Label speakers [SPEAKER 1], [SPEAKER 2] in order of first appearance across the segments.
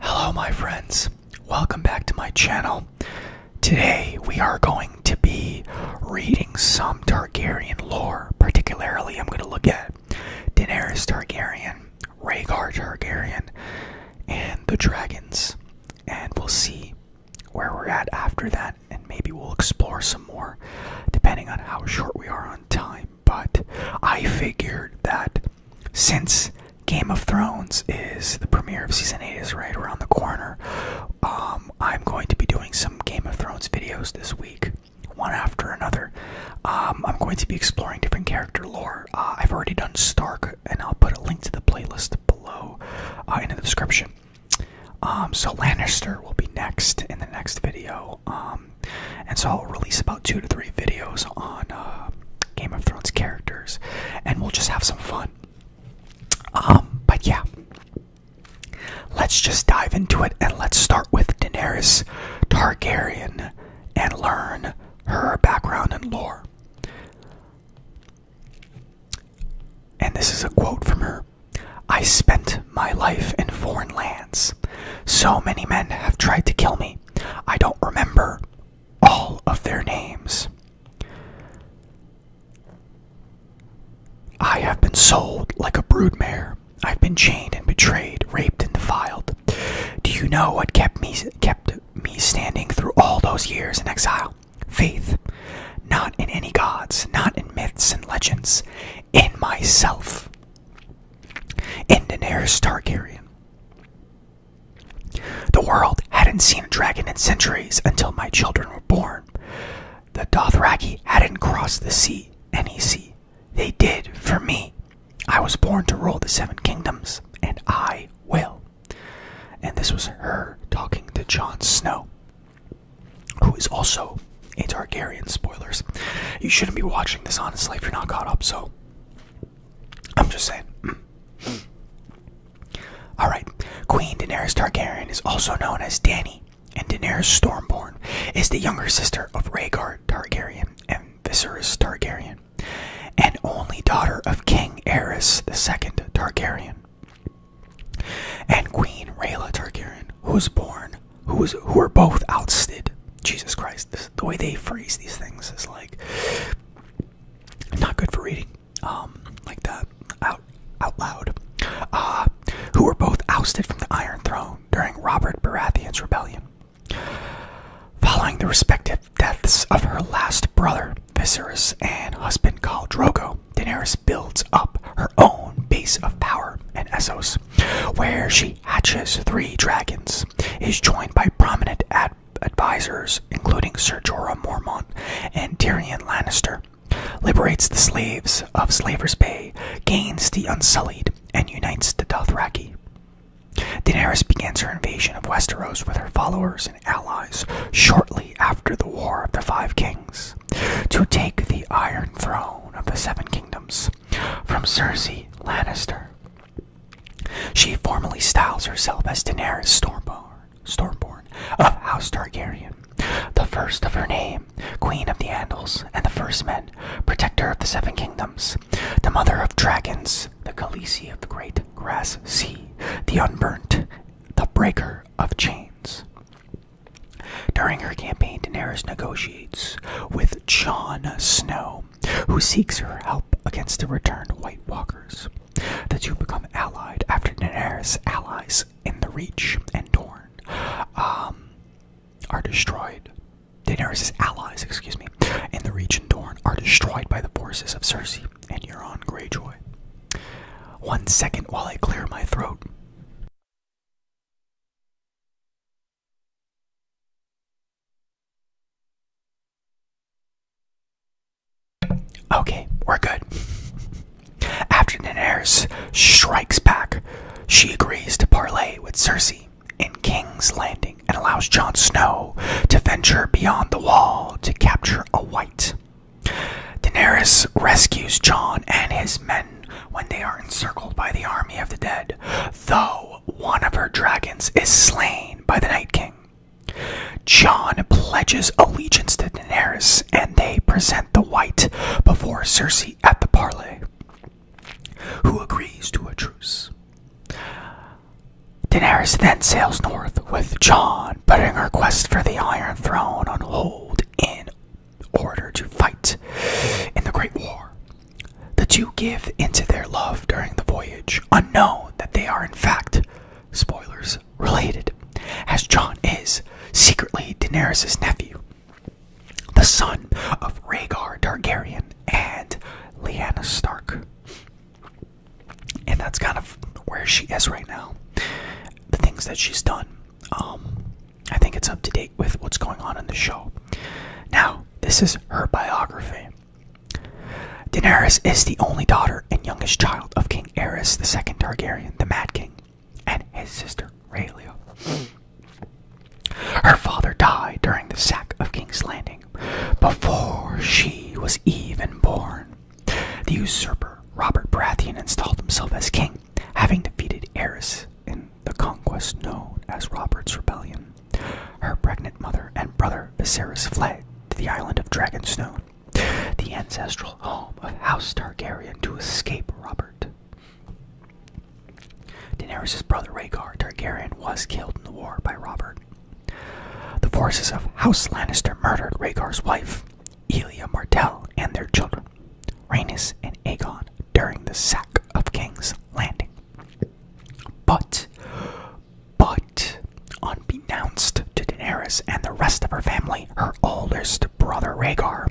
[SPEAKER 1] Hello, my friends. Welcome back to my channel. Today, we are going to be reading some Targaryen lore. Particularly, I'm going to look at Daenerys Targaryen, Rhaegar Targaryen, and the dragons. And we'll see where we're at after that, and maybe we'll explore some more depending on how short we are on time. But I figured that since Game of Thrones is the premiere of season 8 is right around the corner, um, I'm going to be doing some Game of Thrones videos this week, one after another. Um, I'm going to be exploring different character lore. Uh, I've already done Stark, and I'll put a link to the playlist below uh, in the description. Um, so Lannister will be next in the next video, and so I'll release about two to three videos on uh, Game of Thrones characters, and we'll just have some fun. Um, but yeah, let's just dive into it and let's start with Daenerys Targaryen and learn her background and lore. And this is a quote from her I spent my life in foreign lands. So many men have tried to kill me. I don't remember all of their names. I have been sold like a broodmare. I've been chained and betrayed, raped and defiled. Do you know what kept me kept me standing through all those years in exile? Faith, not in any gods, not in myths and legends, in myself. In Daenerys Targaryen. The world hadn't seen a dragon in centuries until my children were born. The Dothraki hadn't crossed the sea, any sea. They did for me. I was born to rule the Seven Kingdoms, and I will. And this was her talking to Jon Snow, who is also a Targaryen. Spoilers. You shouldn't be watching this, honestly, if you're not caught up, so I'm just saying. Alright, Queen Daenerys Targaryen is also known as Dany, and Daenerys Stormborn is the younger sister of Rhaegar Targaryen and Viserys Targaryen, and only daughter of King Aerys II Targaryen. And Queen Rhaela Targaryen, who was born, who was who were both ousted. Jesus Christ, the way they phrase these things is like not good for reading, um, like that out out loud, uh, who were both ousted from the Iron Throne during Robert Baratheon's rebellion. Following the respective deaths of her last brother, Viserys, and husband Khal Drogo, Daenerys builds up her own base of power in Essos, where she hatches three dragons, is joined by prominent ad advisors, including Sir Jorah Mormont and Tyrion Lannister, liberates the slaves of Slaver's Bay, gains the Unsullied, and unites the Dothraki. Daenerys begins her invasion of Westeros with her followers and allies shortly after the War of the Five Kings to take the Iron Throne of the Seven Kingdoms from Cersei Lannister. She formally styles herself as Daenerys Stormborn, Stormborn of House Targaryen, the first of her name, Queen of the Andals and the First Men, Protector of the Seven Kingdoms, the Mother of Dragons, the Khaleesi of the Great Grass Sea, the Unburnt, the Breaker of Chains. During her campaign, Daenerys negotiates with Jon Snow, who seeks her help against the returned White Walkers. The two become allied after Daenerys' allies in the Reach and Dorne um, are destroyed. Daenerys' allies, excuse me, in the Reach and Dorne are destroyed by the forces of Cersei and Euron Greyjoy. One second while I clear my throat. Okay, we're good. After Daenerys strikes back, she agrees to parley with Cersei in King's Landing and allows Jon Snow to venture beyond the wall to capture a white. Daenerys rescues Jon and his men when they are encircled by the army of the dead, though one of her dragons is slain by the Night King. John pledges allegiance to Daenerys, and they present the white before Cersei at the parley, who agrees to a truce. Daenerys then sails north with John, putting her quest for the Iron Throne on hold in order to fight in the Great War. The two give into their love during the voyage, unknown that they are in fact spoilers related, as Jon is secretly Daenerys' nephew, the son of Rhaegar Targaryen and Lyanna Stark. And that's kind of where she is right now. The things that she's done. Um, I think it's up to date with what's going on in the show. Now, this is her biography. Daenerys is the only daughter and youngest child of King Aerys II Targaryen, the Mad King, and his sister Rhaelia. Her father died during the sack of King's Landing before she was even born. The usurper Robert Baratheon installed himself as king, having defeated Aerys in the conquest known as Robert's Rebellion. Her pregnant mother and brother Viserys fled to the island of Dragonstone, the ancestral home of House Targaryen, to escape Robert. Daenerys' brother Rhaegar Targaryen was killed in the war by Robert. The forces of House Lannister murdered Rhaegar's wife, Elia Martell, and their children, Rhaenys and Aegon, during the sack of King's Landing. But but, unbeknownst to Daenerys and the rest of her family, her oldest brother Rhaegar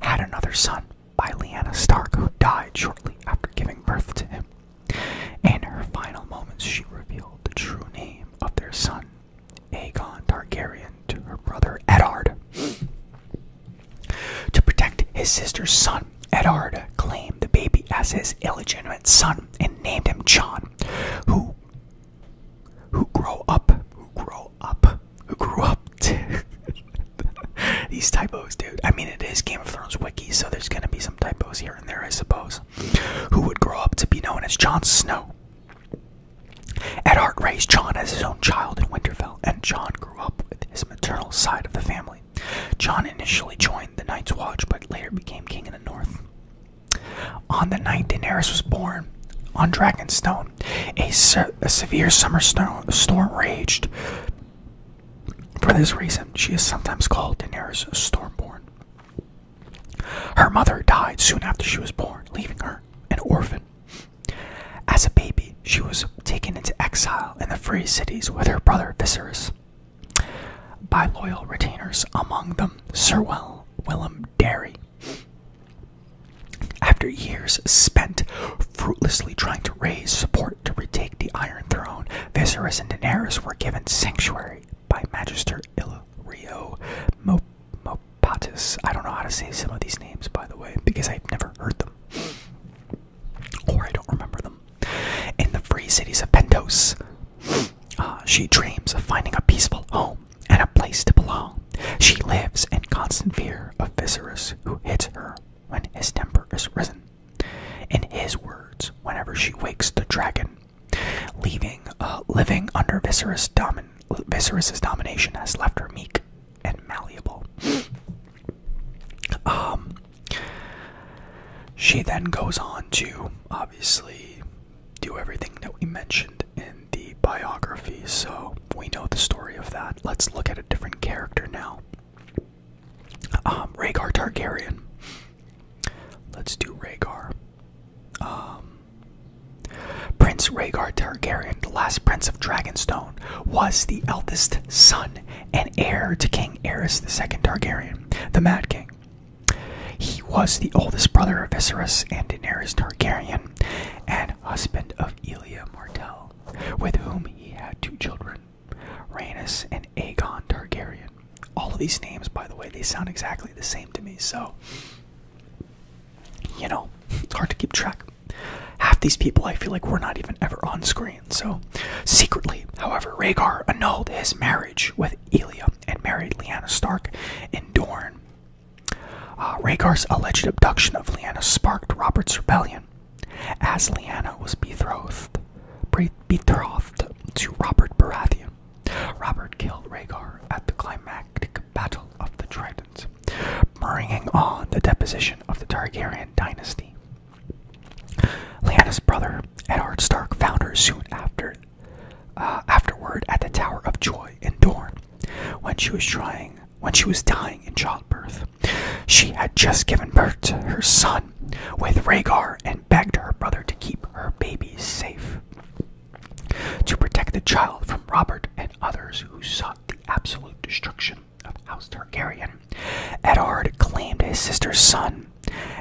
[SPEAKER 1] had another son by Lyanna Stark, who died shortly after giving birth to him. In her final moments, she revealed the true name of their son, Aegon Targaryen, to her brother Eddard. To protect his sister's son Edard claimed the baby as his illegitimate son and named him John, who who grow up, who grow up, who grew up. These typos, dude. I mean, it is Game of Thrones wiki, so there's gonna be some typos here and there, I suppose. Who would grow up to be known as Jon Snow? Edhart raised John as his own child in Winterfell, and John grew up with his maternal side of the family family. John initially joined the Night's Watch but later became king in the north. On the night Daenerys was born, on Dragonstone, a, a severe summer storm raged. For this reason, she is sometimes called Daenerys Stormborn. Her mother died soon after she was born, leaving her an orphan. As a baby, she was taken into exile in the Free Cities with her brother Viserys by loyal retainers, among them Sirwell Will Willem Derry. After years spent fruitlessly trying to raise support to retake the Iron Throne, Viserys and Daenerys were given sanctuary by Magister Illyrio Mopatis. I don't know how to say some of these names, by the way, because I've never heard them. Or I don't remember them. In the free cities of Pentos, uh, she dreams of finding a peaceful home and a place to belong. She lives in constant fear of Viserys, who hits her when his temper is risen. In his words, whenever she wakes the dragon, leaving uh, living under Viserys domination has left her meek and malleable. Um, she then goes on to obviously do everything that we mentioned in the biography, so we know the story of that. Let's look at a different character now. Um, Rhaegar Targaryen. Let's do Rhaegar. Um, prince Rhaegar Targaryen, the last prince of Dragonstone, was the eldest son and heir to King Aerys II Targaryen, the Mad King. He was the oldest brother of Viserys and Daenerys Targaryen, and husband of Elia Martell, with whom he had two children, Rhaenys and Aegon Targaryen. All of these names, by the way, they sound exactly the same to me, so you know, it's hard to keep track. Half these people I feel like were not even ever on screen, so Secretly, however, Rhaegar annulled his marriage with Elia and married Lyanna Stark in Dorne. Uh, Rhaegar's alleged abduction of Lyanna sparked Robert's rebellion, as Lyanna was betrothed, betrothed to Robert Baratheon. Robert killed Rhaegar at the climactic Battle of the Trident, bringing on the deposition of the Targaryen dynasty. Lyanna's brother, Edard Stark, found her soon after, uh, afterward at the Tower of Joy in Dorne, when she was trying, when she was dying in childbirth. She had just given birth to her son with Rhaegar and begged her brother to keep her baby safe, to protect the child from Robert and others who sought the absolute destruction of House Targaryen. Edard claimed his sister's son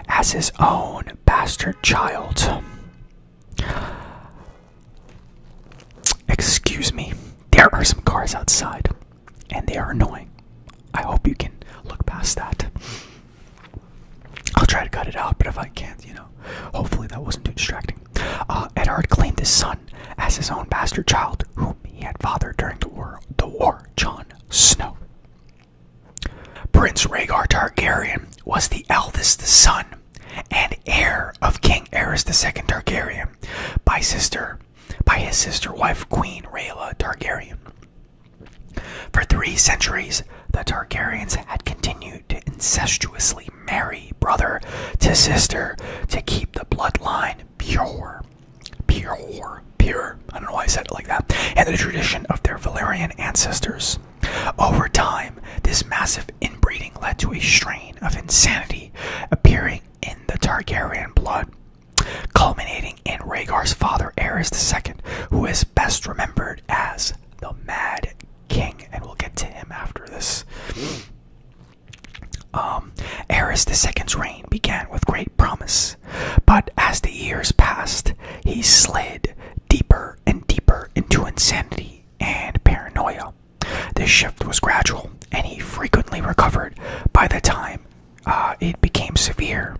[SPEAKER 1] as his own bastard child. Excuse me, there are some cars outside, and they are annoying. I hope you can look past that. I'll try to cut it out, but if I can't, you know, hopefully that wasn't too distracting. Uh, Edhard claimed his son as his own bastard child, whom he had fathered during the war. The war, John Snow. Prince Rhaegar Targaryen was the eldest son and heir of King Aerys II Targaryen by sister by his sister wife Queen Rhaela Targaryen. For three centuries, the Targaryens had continued to incestuously marry brother to sister to keep the bloodline pure. Pure pure, I don't know why I said it like that, and the tradition of their Valerian ancestors. Over time, this massive inbreeding led to a strain of insanity appearing in the Targaryen blood, culminating in Rhaegar's father, Aerys II, who is best remembered as the Mad King, and we'll get to him after this. Mm. Um, Aerys II's reign began with great promise but as the years passed, he slid deeper and deeper into insanity and paranoia. This shift was gradual, and he frequently recovered by the time uh, it became severe.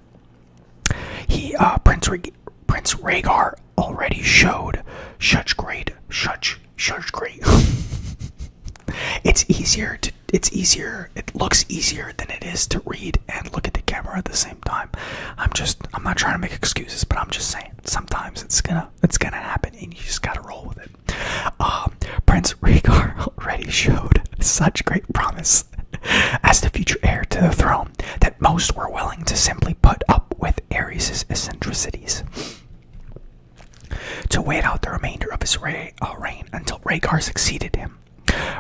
[SPEAKER 1] He, uh, Prince, Reg Prince Rhaegar, already showed such great, such, such great. it's easier to, it's easier, it looks easier than it is to read and look at the camera at the same i'm just i'm not trying to make excuses but i'm just saying sometimes it's gonna it's gonna happen and you just gotta roll with it uh, prince rhaegar already showed such great promise as the future heir to the throne that most were willing to simply put up with Ares's eccentricities to wait out the remainder of his uh, reign until Rhaegar succeeded him.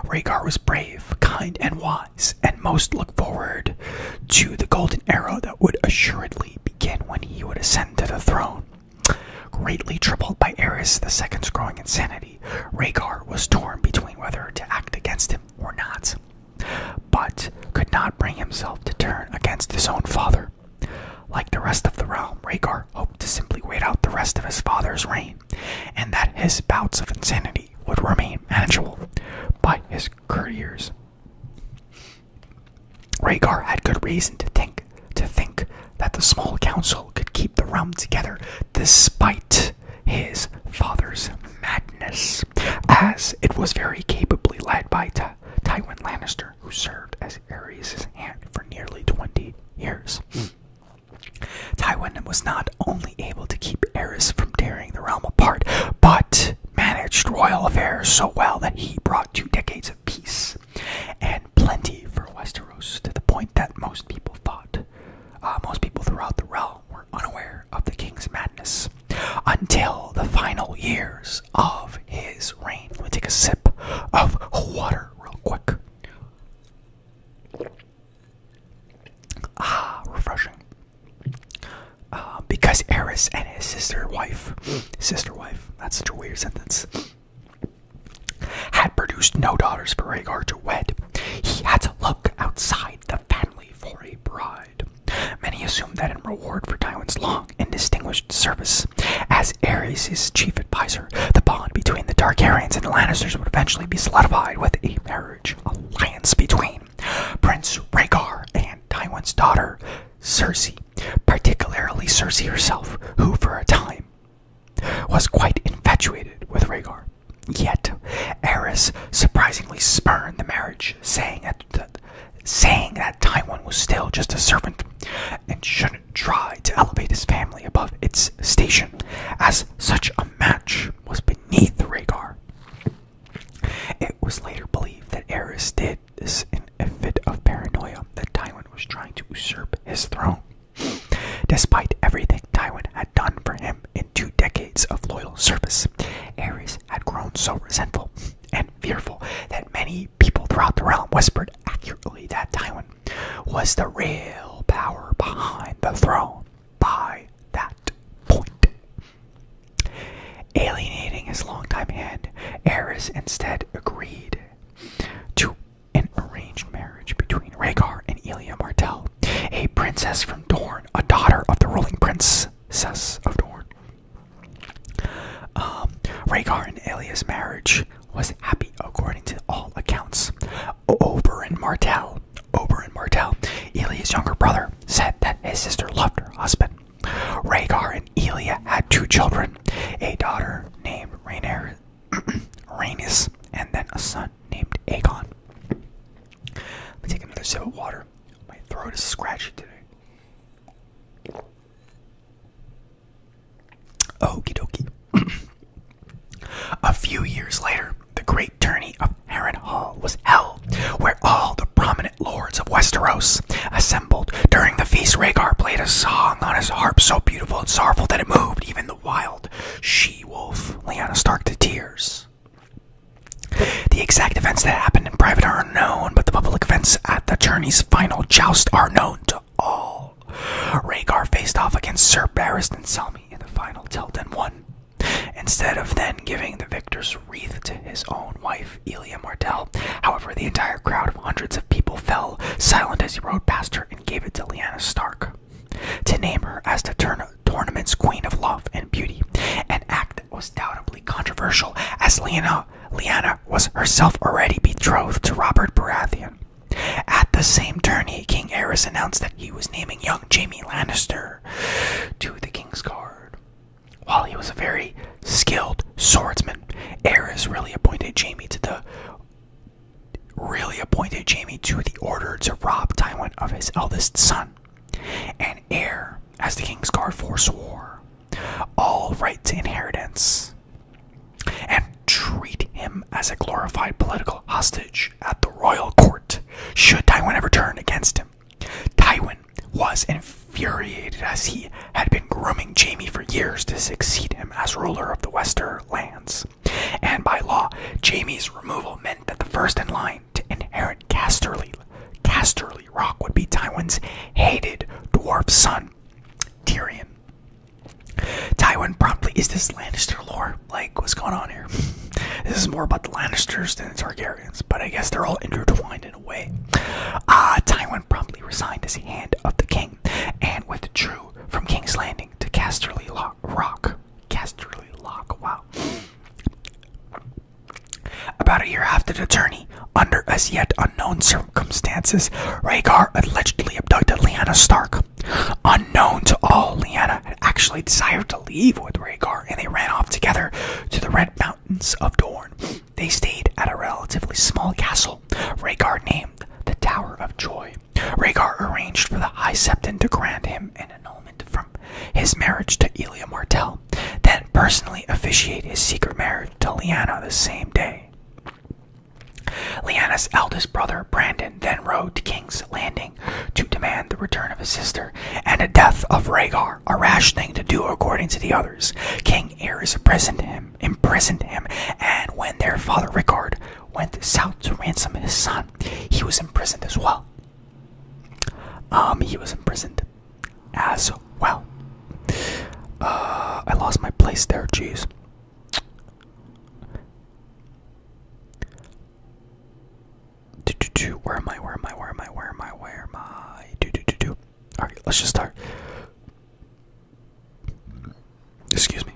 [SPEAKER 1] Rhaegar was brave, kind, and wise, and most looked forward to the golden arrow that would assuredly begin when he would ascend to the throne. Greatly troubled by Aerys II's growing insanity, Rhaegar was torn between whether to act against him or not, but could not bring himself to turn against his own father. Like the rest of the realm, Rhaegar hoped to simply wait out the rest of his father's reign, and that his bouts of insanity would remain manageable by his courtiers. Rhaegar had good reason to think to think that the small council could keep the realm together despite his father's madness, as it was very capably led by Tywin Lannister, who served as Ares' hand for nearly 20 years. Hmm. Tywin was not only able to keep Eris from tearing the realm apart, but managed royal affairs so well that he brought two decades of peace and plenty for Westeros to the point that most people thought, uh, most people throughout the realm were unaware of the king's madness until the final years of his reign. Let me take a sip of water real quick. Ah, refreshing. Ah, because Eris and his sister wife, sister wife, that's such a weird sentence, had produced no daughters for Rhaegar to wed, he had to look outside the family for a bride. Many assumed that in reward for Tywin's long and distinguished service as Ares' chief advisor, the bond between the Targaryens and the Lannisters would eventually be solidified with a marriage alliance between Prince Rhaegar and Tywin's daughter, Cersei, particularly Cersei herself, who for a time was quite infatuated with Rhaegar. Yet, Eris surprisingly spurned the marriage, saying that, the, saying that Tywin was still just a servant and shouldn't try to elevate his family above its station, as such a match was beneath Rhaegar. It was later believed that Aerys did this in a fit of paranoia that Tywin was trying to usurp his throne. Despite everything Tywin had done for him in two decades of loyal service, Aerys had grown so resentful and fearful that many people throughout the realm whispered accurately that Tywin was the real power behind the throne by that point. Alienating his longtime hand, Eris instead agreed to an arranged marriage between Rhaegar and Elia Martell, a princess from Dorne, a daughter of the ruling prince, princess of Dorne. Um, Rhaegar and Elia's marriage was happy according to all accounts. Oberyn Martell Oberyn Martell, Elia's younger brother, said that his sister loved her husband. Rhaegar and Elia had two children, a daughter named Rhaenyra, Rhaenys, and then a son named Aegon. Let me take another sip of water. My throat is scratchy today. Okie dokie. A few years later, the great tourney of Harren Hall was held, where all the prominent lords of Westeros assembled. During the feast, Rhaegar played a song on his harp so beautiful and sorrowful that it moved even the wild she-wolf Lyanna Stark to tears. The exact events that happened in private are unknown, but the public events at the tourney's final joust are known to all. Rhaegar faced off against Sir Barristan Selmy in the final tilt and won. Instead of then giving the victor's wreath to his own wife, Elia Martel, however, the entire crowd of hundreds of people fell silent as he rode past her and gave it to Lyanna Stark. To name her as the tournament's queen of love and beauty, an act that was doubtably controversial, as Lyanna, Lyanna was herself already betrothed to Robert Baratheon. At the same tourney, King Aerys announced that he was naming young Jaime Lannister to the king's guard, While he was a very skilled swordsman, Eris really appointed Jamie to the really appointed Jamie to the order to rob Tywin of his eldest son. And heir, as the king's guard forswore, all right to inheritance, and treat him as a glorified political hostage at the royal court should Tywin ever turn against him. Tywin was infuriated as he had been grooming Jamie for years to succeed him as ruler of the Westerlands, And by law, Jamie's removal meant that the first in line to inherit Casterly, Casterly Rock would be Tywin's hated dwarf son, Tyrion. Tywin promptly is this Lannister lore like, what's going on here? this is more about the Lannisters than the Targaryens, but I guess they're all intertwined in a way. Ah, uh, Tywin promptly resigned his hand of the king and withdrew from King's Landing to Casterly Lock, Rock. Casterly Lock, wow. About a year after the journey, under as yet unknown circumstances, Rhaegar allegedly abducted Lyanna Stark. On Known to all, Lyanna had actually desired to leave with Rhaegar, and they ran off together to the Red Mountains of Dorne. They stayed at a relatively small castle, Rhaegar named the Tower of Joy. Rhaegar arranged for the High Septon to grant him an annulment from his marriage to Elia Martell, then personally officiate his secret marriage to Lyanna the same day. Lyanna's eldest brother, Brandon, then rode to King's Landing to demand the return of his sister and the death of Rhaegar, a rash thing to do according to the others. King Aerys imprisoned him, imprisoned him, and when their father Rickard went south to ransom his son, he was imprisoned as well. Um, he was imprisoned as well. Uh, I lost my place there, jeez. Do, do, do. Where am I? Where am I? Where am I? Where am I? Where am I? Do, do, do, do. All right, let's just start. Excuse me.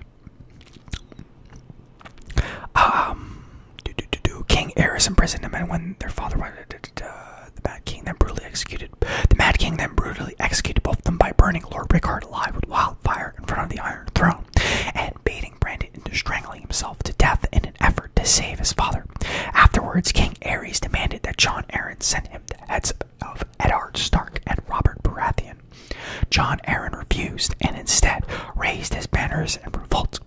[SPEAKER 1] Um, do, do, do, do. King Eris imprisoned him, and when their father, da, da, da, the Mad King, then brutally executed. The Mad King then brutally executed both of them by burning Lord Rickard alive with wildfire in front of the Iron Throne and beating getting Brandon into strangling himself to death in an effort to save his father. Afterwards, King Ares demanded that John Aaron send him the heads of Edard Stark and Robert Baratheon. John Aaron refused and instead raised his banners in revolt.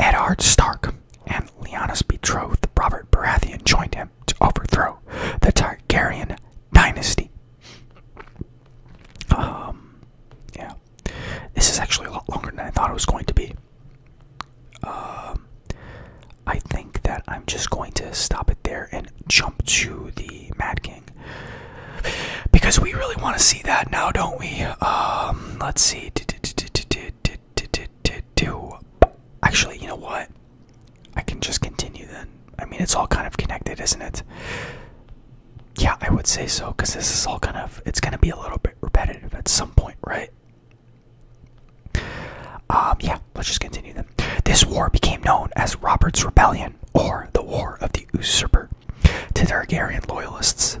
[SPEAKER 1] Edard Stark and Lyanna's betrothed Robert Baratheon joined him to overthrow the Targaryen dynasty. Um, yeah. This is actually a lot longer than I thought it was going to be. Um, I think that I'm just going to stop it there and jump to the Mad King because we really want to see that now, don't we? Um, let's see. Actually, you know what? I can just continue then. I mean, it's all kind of connected, isn't it? Yeah, I would say so because this is all kind of it's gonna be a little bit repetitive at some point, right? Um, yeah, let's just continue then. This war became known as Robert's Rebellion or the War of the Usurper to the Targaryen loyalists.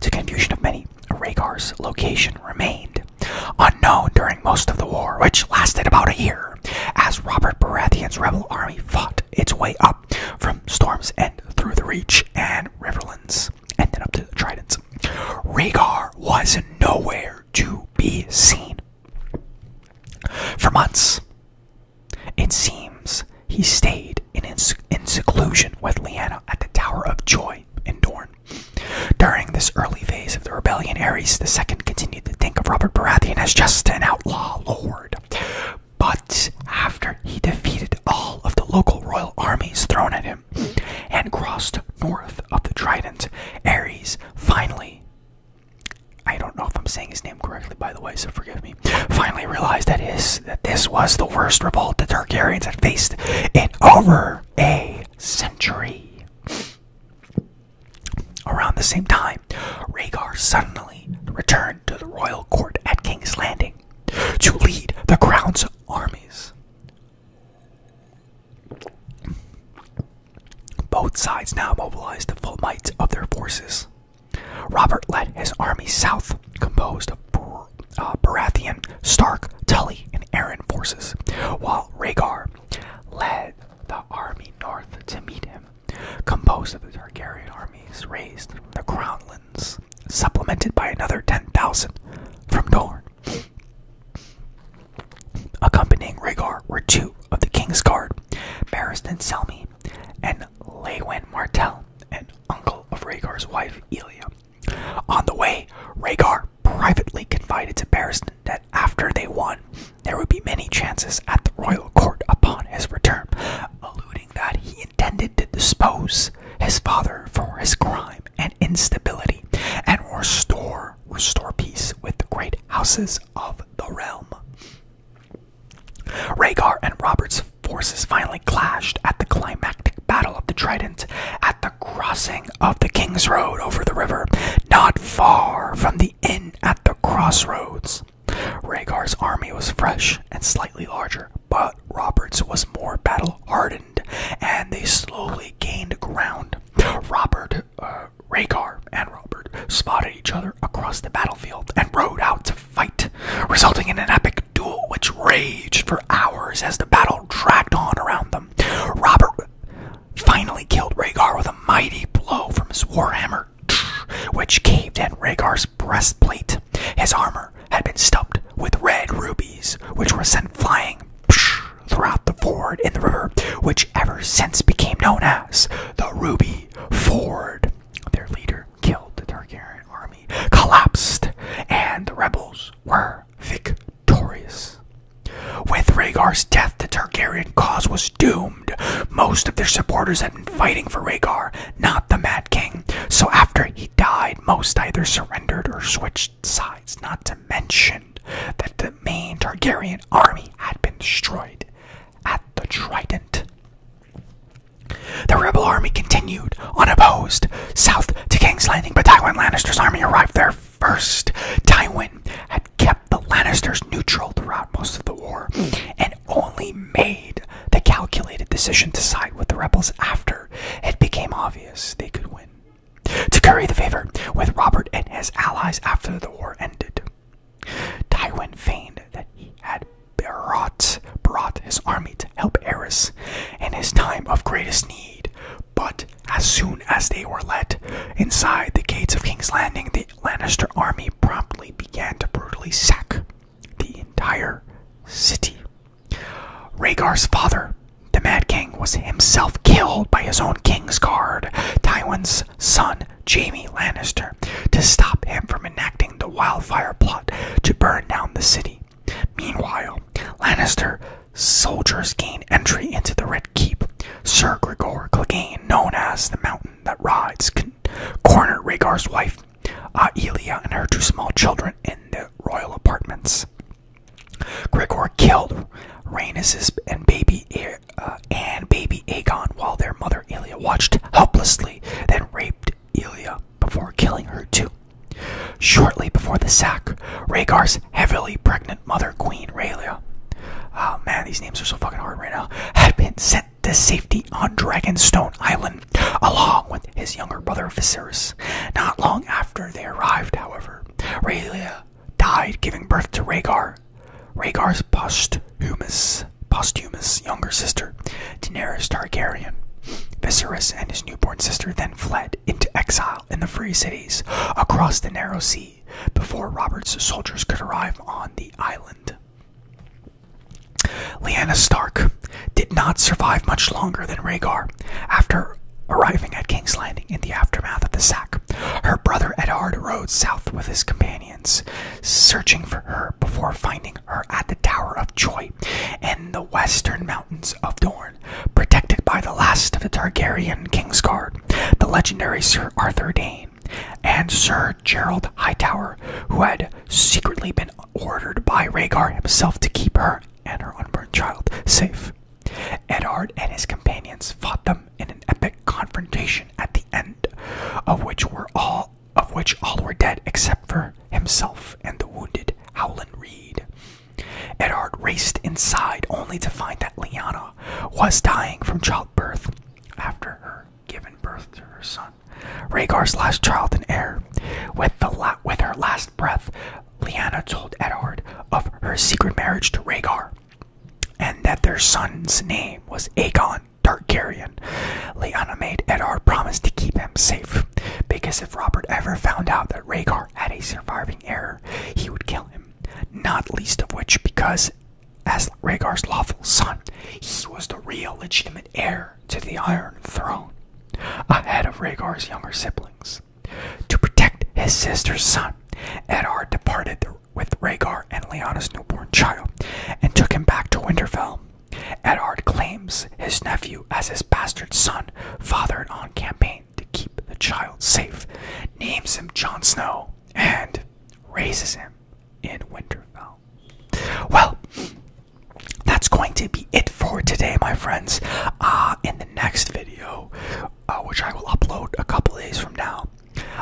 [SPEAKER 1] To confusion of many, Rhaegar's location remained unknown during most of the war, which lasted about a year, as Robert Baratheon's rebel army fought its way up from Storm's End through the Reach and Riverlands, and then up to the Tridents. Rhaegar was nowhere to be seen. For months, it seems he stayed in, in seclusion with Lyanna at the Tower of Joy in Dorne. During this early phase of the rebellion, Ares II continued to think of Robert Baratheon as just an outlaw lord, but after he defeated all of the local royal armies thrown at him and crossed north of the Trident, Ares finally, I don't know if I'm saying his name correctly by the way, so forgive me, finally realized that, that this was the worst revolt the Targaryens had faced in over a century. Around the same time, Rhaegar suddenly returned to the royal court at King's Landing to lead the crown's armies. Both sides now mobilized the full might of their forces. Robert led his army south, composed of Bar uh, Baratheon, Stark, Tully, and Aaron forces, while Rhaegar led the army north to meet him composed of the Targaryen armies raised from the Crownlands, supplemented by another 10,000 from Dorne. Accompanying Rhaegar were two of the King's Guard, Barristan Selmy and Lewin Martell, an uncle of Rhaegar's wife Elia. On the way, Rhaegar privately confided to Barristan that after they won, there would be many chances at the royal court upon his return, alluding that he intended to dispose his father for his crime and instability and restore restore peace with the great houses of the realm. Rhaegar and Robert's forces finally clashed at the climactic battle of the Trident at the crossing of the King's Road over the river, not far from the inn at the crossroads. Rhaegar's army was fresh and slightly larger, but Robert's was more battle hardened, and they slowly gained ground. Robert, uh, and Robert spotted each other across the battlefield and rode out to fight, resulting in an epic duel which raged for hours as the battle dragged on around them. Robert finally killed Rhaegar with a mighty blow from his warhammer which caved in Rhaegar's breastplate. His armor had been stubbed with red rubies, which were sent flying throughout the ford in the river, which ever since became known as the Ruby Ford. Their leader killed the Targaryen army, collapsed, and the rebels were victorious. With Rhaegar's death, the Targaryen cause was doomed. Most of their supporters had been fighting for Rhaegar not the Mad King. So after he died, most either surrendered or switched sides, not to mention that the main Targaryen army had been destroyed at the Trident. The rebel army continued unopposed south to King's Landing, but Tywin Lannister's army arrived there first. Tywin had kept the Lannisters neutral throughout most of the war and only made the calculated decision to side with the rebels after it became obvious they could win. To curry the favor with Robert and his allies after the war ended, Tywin feigned that he had brought, brought his army to help Eris in his time of greatest need. But as soon as they were let inside the gates of King's Landing, the Lannister army promptly began to brutally sack the entire city. Rhaegar's father, the Mad King, was himself killed by his own king's guard, Tywin's son, Jaime Lannister, to stop him from enacting the wildfire plot to burn down the city. Meanwhile, Lannister soldiers gain entry into the Red Keep. Sir Gregor Clegane, known as the Mountain that Rides, corner Rhaegar's wife uh, Elia and her two small children in the royal apartments. Gregor killed Rhaenys and baby uh, and baby Aegon while their mother Elia watched helplessly, then raped Elia before killing her too. Shortly before the sack, Rhaegar's heavily pregnant mother, Queen Rhaelia, oh man, these names are so fucking hard right now, had been sent to safety on Dragonstone Island, along with his younger brother Viserys. Not long after they arrived, however, Rhaelia died giving birth to Rhaegar. Rhaegar's posthumous, posthumous younger sister, Daenerys Targaryen. Viserys and his newborn sister then fled into exile in the Free Cities across the narrow sea before Robert's soldiers could arrive on the island. Lyanna Stark did not survive much longer than Rhaegar. After arriving at King's Landing in the aftermath of the sack, her brother Edard rode south with his companions, searching for her before finding her at the Tower of Joy in the western mountains of Dorne, protected by the last of the Targaryen Kingsguard, the legendary Sir Arthur Dane, and Sir Gerald Hightower, who had secretly been ordered by Rhaegar himself to keep her and her unborn child safe. Edard and his companions fought them in an epic confrontation at the end, of which were all of which all were dead except for himself and the wounded Howland Reed. Edard raced inside only to find that Liana was dying from childbirth after her given birth to her son, Rhaegar's last child and heir. With, the with her last breath, Lyanna told Edard of her secret marriage to Rhaegar, and that their son's name was Aegon Targaryen. Lyanna made Edard promise to keep him safe, because if Robert ever found out that Rhaegar had a surviving heir, he would kill him. Not least of which because, as Rhaegar's lawful son, he was the real legitimate heir to the Iron Throne, ahead of Rhaegar's younger siblings. To protect his sister's son, Eddard departed with Rhaegar and Lyanna's newborn child and took him back to Winterfell. Eddard claims his nephew as his bastard son, fathered on campaign to keep the child safe, names him Jon Snow, and raises him in Winterfell. Well, that's going to be it for today, my friends. Uh, in the next video, uh, which I will upload a couple days from now,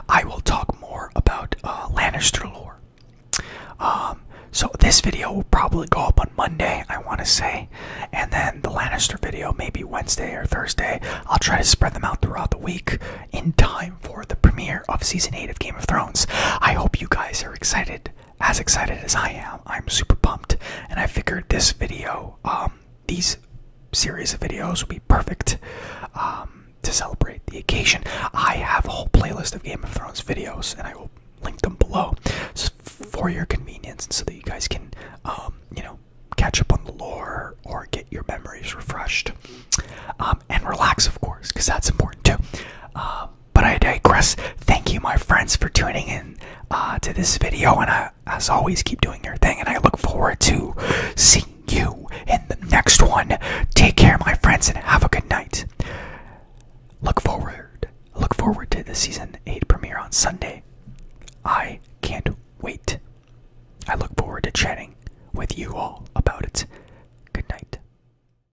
[SPEAKER 1] I will talk more about uh, Lannister lore. Um, so this video will probably go up on Monday, I want to say, and then the Lannister video maybe Wednesday or Thursday. I'll try to spread them out throughout the week in time for the premiere of season 8 of Game of Thrones. I hope you guys are excited as excited as I am. I'm super pumped, and I figured this video, um, these series of videos, would be perfect um, to celebrate the occasion. I have a whole playlist of Game of Thrones videos, and I will link them below for your convenience, so that you guys can, um, you know, catch up on the lore or get your memories refreshed um, and relax, of course, because that's important too. Um, but I digress. Thank you, my friends, for tuning in uh, to this video. And I, as always, keep doing your thing. And I look forward to seeing you in the next one. Take care, my friends, and have a good night. Look forward. Look forward to the season 8 premiere on Sunday. I can't wait. I look forward to chatting with you all about it. Good night.